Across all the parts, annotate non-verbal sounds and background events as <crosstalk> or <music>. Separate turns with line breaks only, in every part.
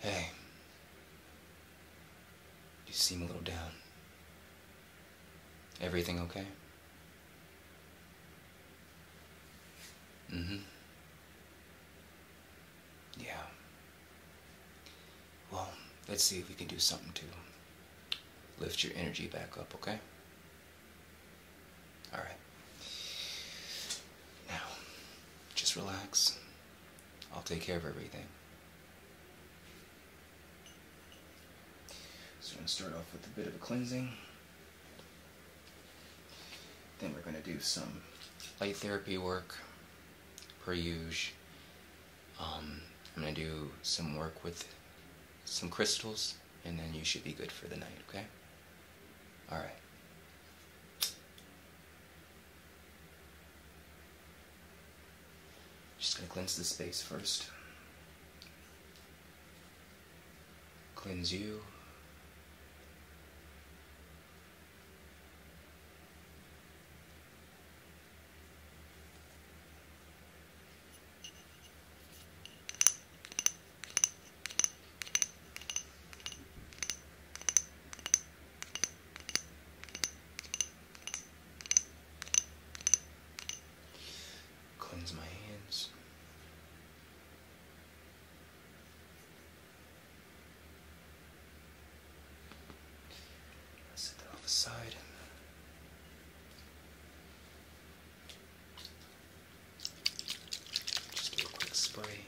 Hey. You seem a little down. Everything okay? Mm-hmm. Yeah. Well, let's see if we can do something to lift your energy back up, okay? Alright. Now, just relax. I'll take care of everything. So we're going to start off with a bit of a cleansing. Then we're going to do some light therapy work, per usual. Um, I'm going to do some work with some crystals, and then you should be good for the night, okay? Alright. Just going to cleanse the space first. Cleanse you. Cleanse my hands. set that off aside. Uh, just do a spray.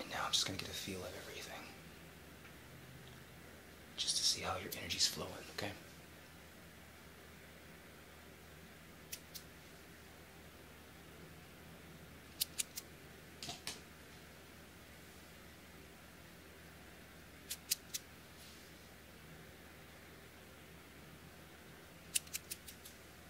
And now I'm just going to get a feel of everything. Just to see how your energy's flowing, okay?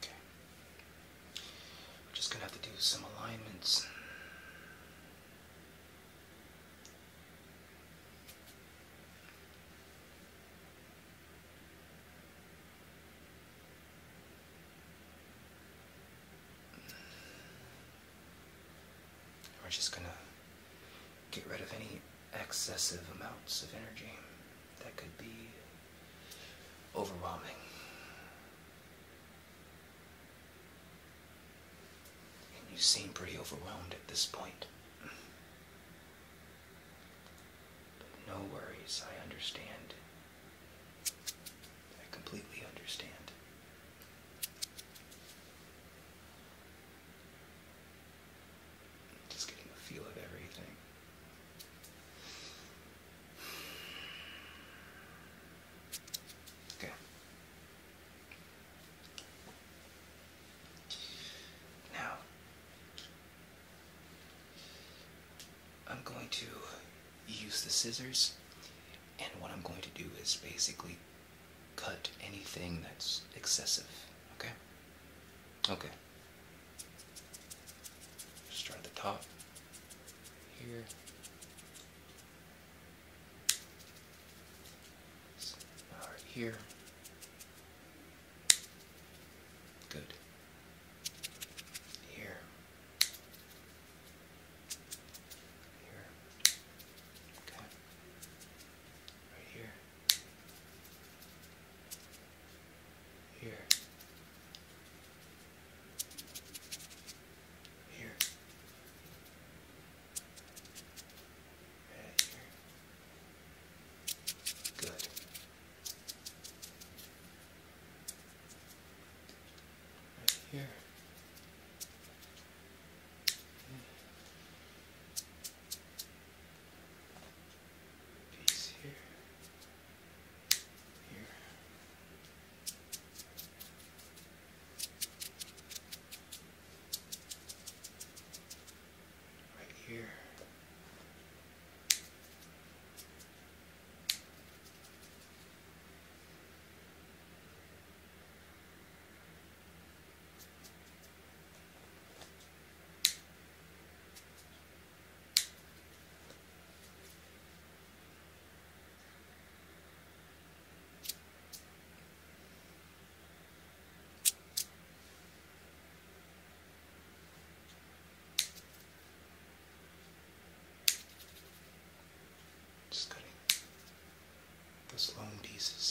Okay. Just gonna have to do some alignments. We're just gonna get rid of any excessive amounts of energy that could be overwhelming. And you seem pretty overwhelmed at this point. But no worries, I understand. I completely understand. Just getting the feel of everything. Okay. Now, I'm going to use the scissors, and what I'm going to do is basically cut anything that's excessive. Okay? Okay. Start at the top here. All right, here. Good. Here. Here. Okay. Right here. Here. Here. Right here. Good. Right here piece here, here. Right here. Just cutting those long pieces.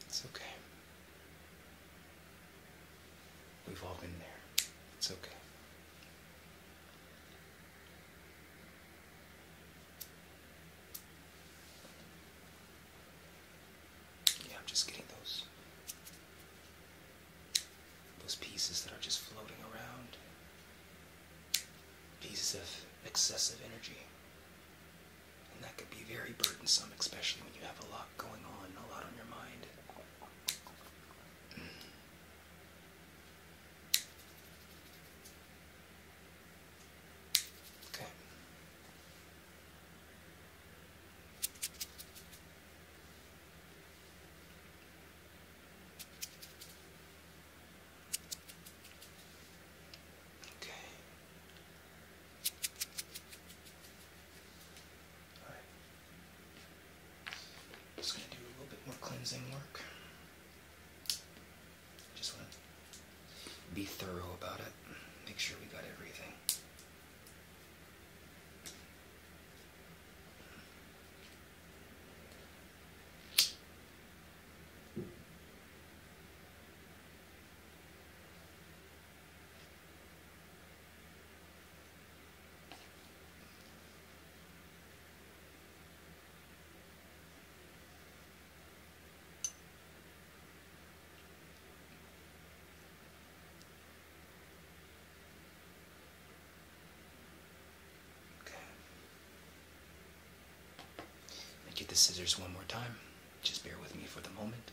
It's okay. We've all been there. It's okay. Yeah, I'm just getting those those pieces that are just floating around. Pieces of excessive energy. And that could be very burdensome, especially when you have a lot going on, a lot on your mind. Okay. Okay. Just going to do a little bit more cleansing work. Just want to be thorough about it, make sure we got everything. Okay. Let me get the scissors one more time. Just bear with me for the moment.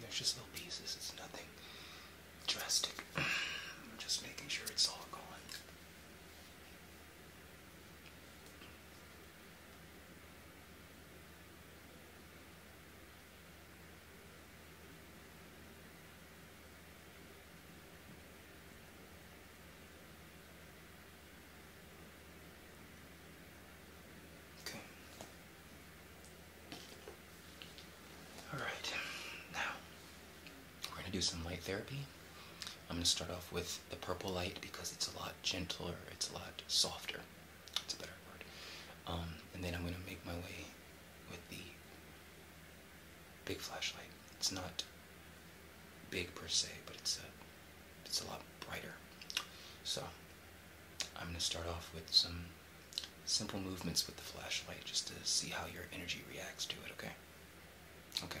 there's just no pieces, it's nothing drastic. <clears throat> I'm just making sure it's all gone. Okay. All right. Now we're going to do some light therapy. I'm going to start off with the purple light because it's a lot gentler, it's a lot softer. It's a better word. Um, and then I'm going to make my way with the big flashlight. It's not big per se, but it's a it's a lot brighter. So I'm gonna start off with some simple movements with the flashlight just to see how your energy reacts to it. Okay. Okay.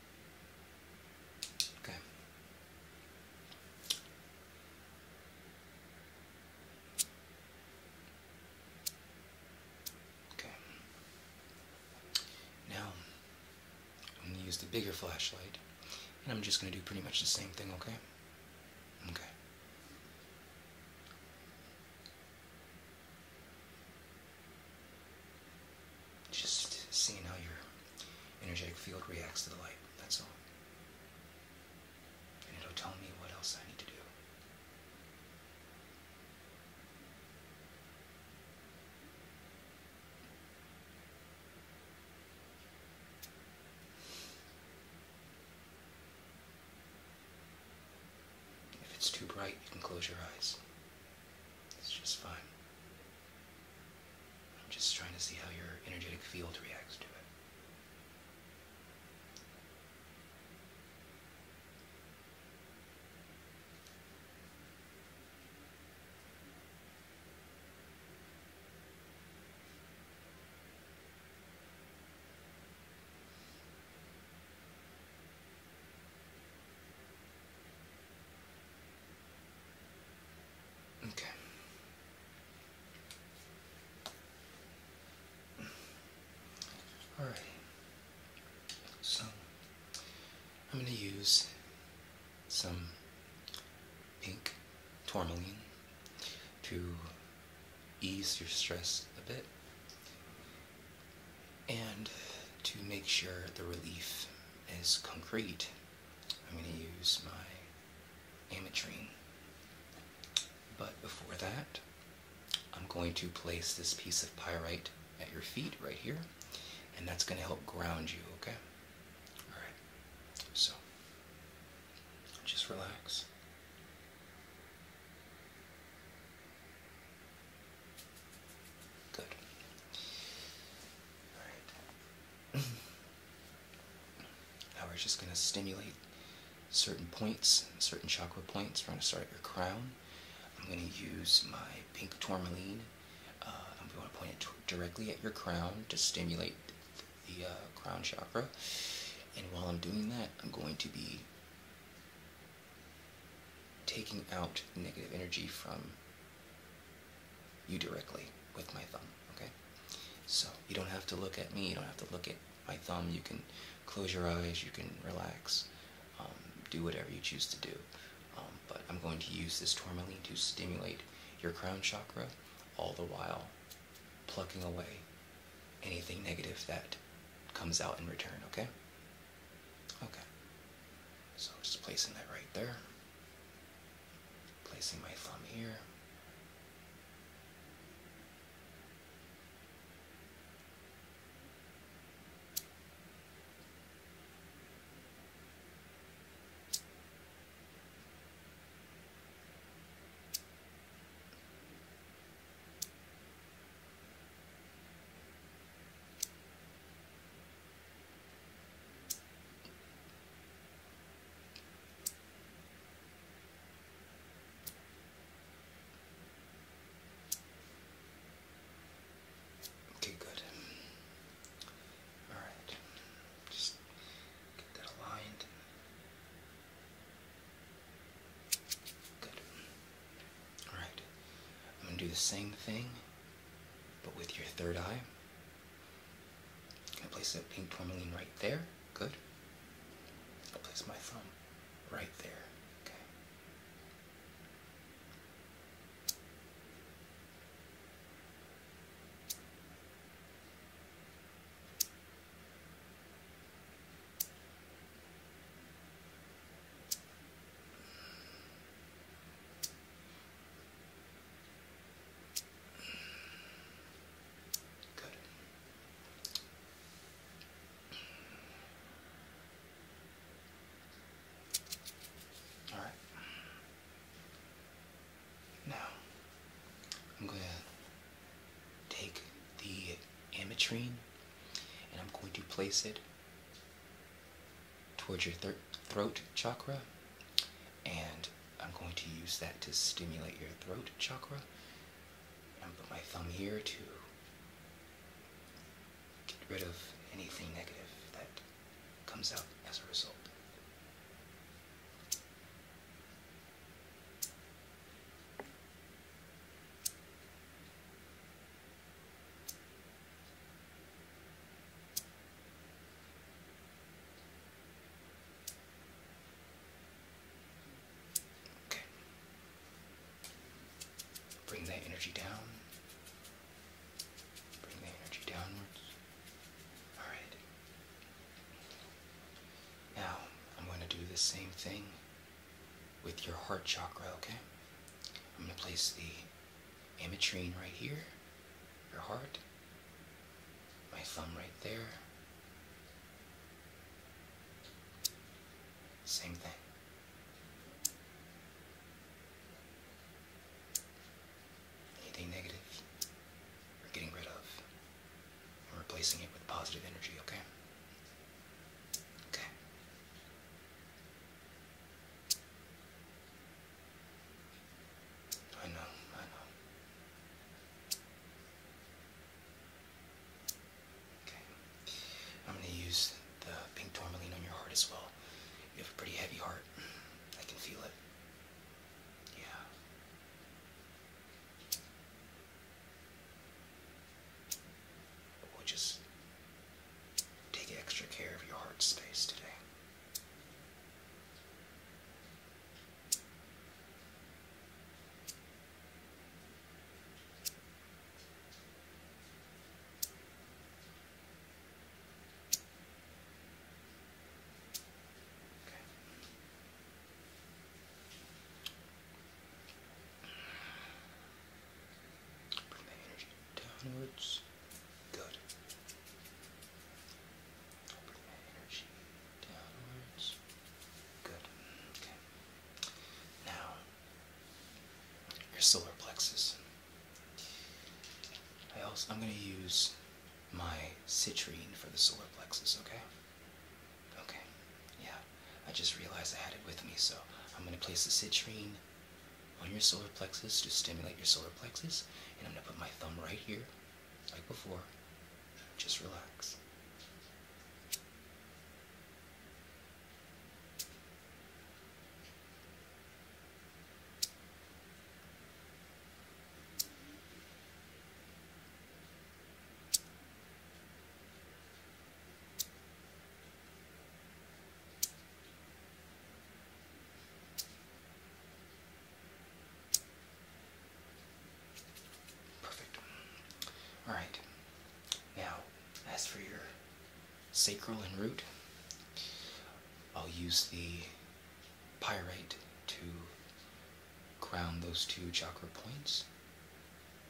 Okay. Okay. Now, I'm going to use the bigger flashlight, and I'm just going to do pretty much the same thing, okay? Okay. Just seeing how your energetic field reacts to the light, that's all. And it'll tell me what else I need to do. If it's too bright, you can close your eyes. It's just fine. I'm just trying to see how your energetic field reacts to it. Okay. Alrighty. So, I'm going to use some pink tourmaline to ease your stress a bit. And to make sure the relief is concrete, I'm going to use my Ametrine. But before that, I'm going to place this piece of pyrite at your feet right here, and that's going to help ground you, okay? Alright, so just relax. Good. Alright. <clears throat> now we're just going to stimulate certain points, certain chakra points. trying to start your crown. I'm going to use my pink tourmaline. Uh, I'm going to point it directly at your crown to stimulate the uh, crown chakra. And while I'm doing that, I'm going to be taking out negative energy from you directly with my thumb, okay? So you don't have to look at me, you don't have to look at my thumb, you can close your eyes, you can relax, um, do whatever you choose to do. Um, but I'm going to use this tourmaline to stimulate your crown chakra, all the while plucking away anything negative that comes out in return, okay? Okay. So I'm just placing that right there. Placing my thumb here. Okay, good. Alright. Just get that aligned. Good. Alright, I'm going to do the same thing, but with your third eye. I place that pink tourmaline right there. Good. I will place my thumb right there. Okay. All right. Now, I'm going to take the ametrine and I'm going to place it towards your throat chakra, and I'm going to use that to stimulate your throat chakra. And put my thumb here to get rid of anything negative that comes out as a result. Okay. Bring that energy down. Bring the energy downwards. Alright. Now, I'm going to do the same thing with your heart chakra, okay? I'm going to place the ametrine right here, your heart, my thumb right there. Same thing. Anything negative, we're getting rid of. We're replacing it with positive energy, okay? Okay. I know, I know. Okay. I'm going to use the pink tourmaline on your heart as well. You have a pretty heavy heart. I can feel it. Yeah. We'll just take extra care of your heart space today. Okay. Bring the energy downwards. Good. Bring the energy downwards. Good. Okay. Now, your solar plexus. I also, I'm going to use my citrine for the solar plexus, okay? Okay. Yeah. I just realized I had it with me, so I'm going to place the citrine on your solar plexus to stimulate your solar plexus. And I'm going to put my thumb right here, like before. Just relax. Perfect. All right. Now, as for your sacral and root, I'll use the pyrite to ground those two chakra points.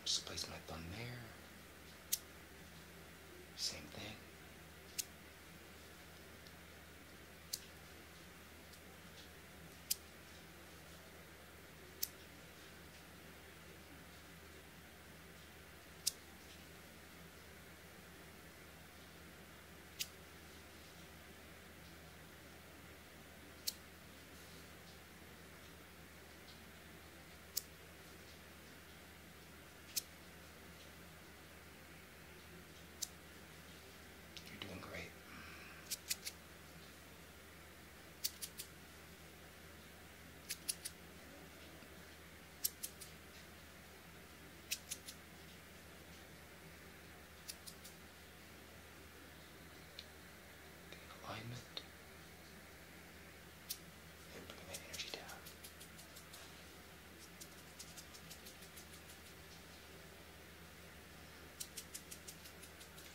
Just place my thumb there. Same thing. You're doing great. alignment.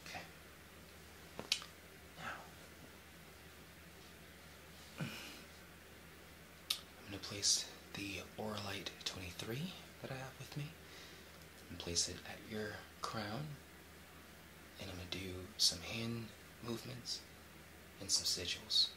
Okay. Now, I'm going to place the Oralite 23 that I have with me and place it at your crown and I'm going to do some hand movements and some sigils.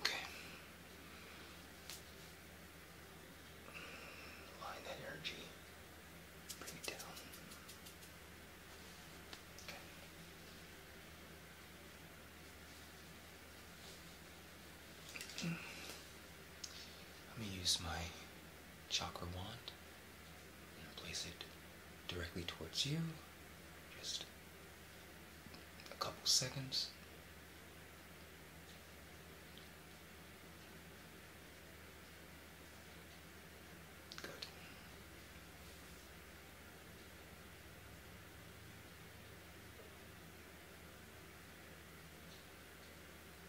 Okay. Line that energy. Bring it down. Okay. Let me use my chakra wand and place it directly towards you. Just a couple seconds. Good.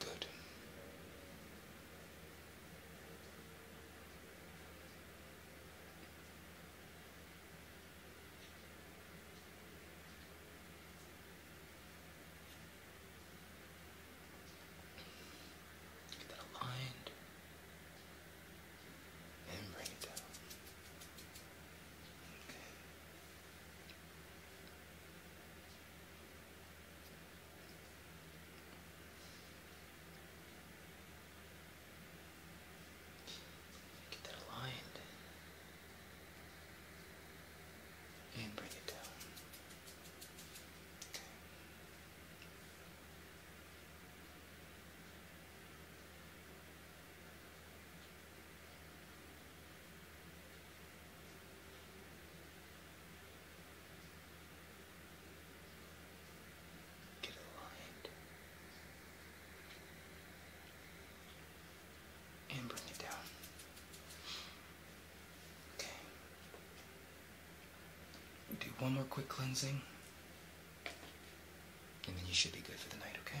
Good. Get that and bring it down. Okay. Get that aligned. And bring it down. Okay. Get aligned and bring it down. Okay. Do one more quick cleansing. And then you should be good for the night, okay?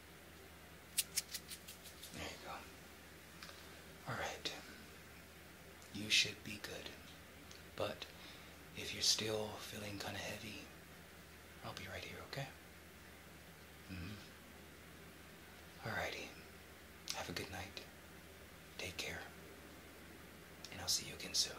There you go. Alright. You should be good. But if you're still feeling kind of heavy, I'll be right here, okay? Mm hmm. Alrighty. Have a good night. Take care. And I'll see you again soon.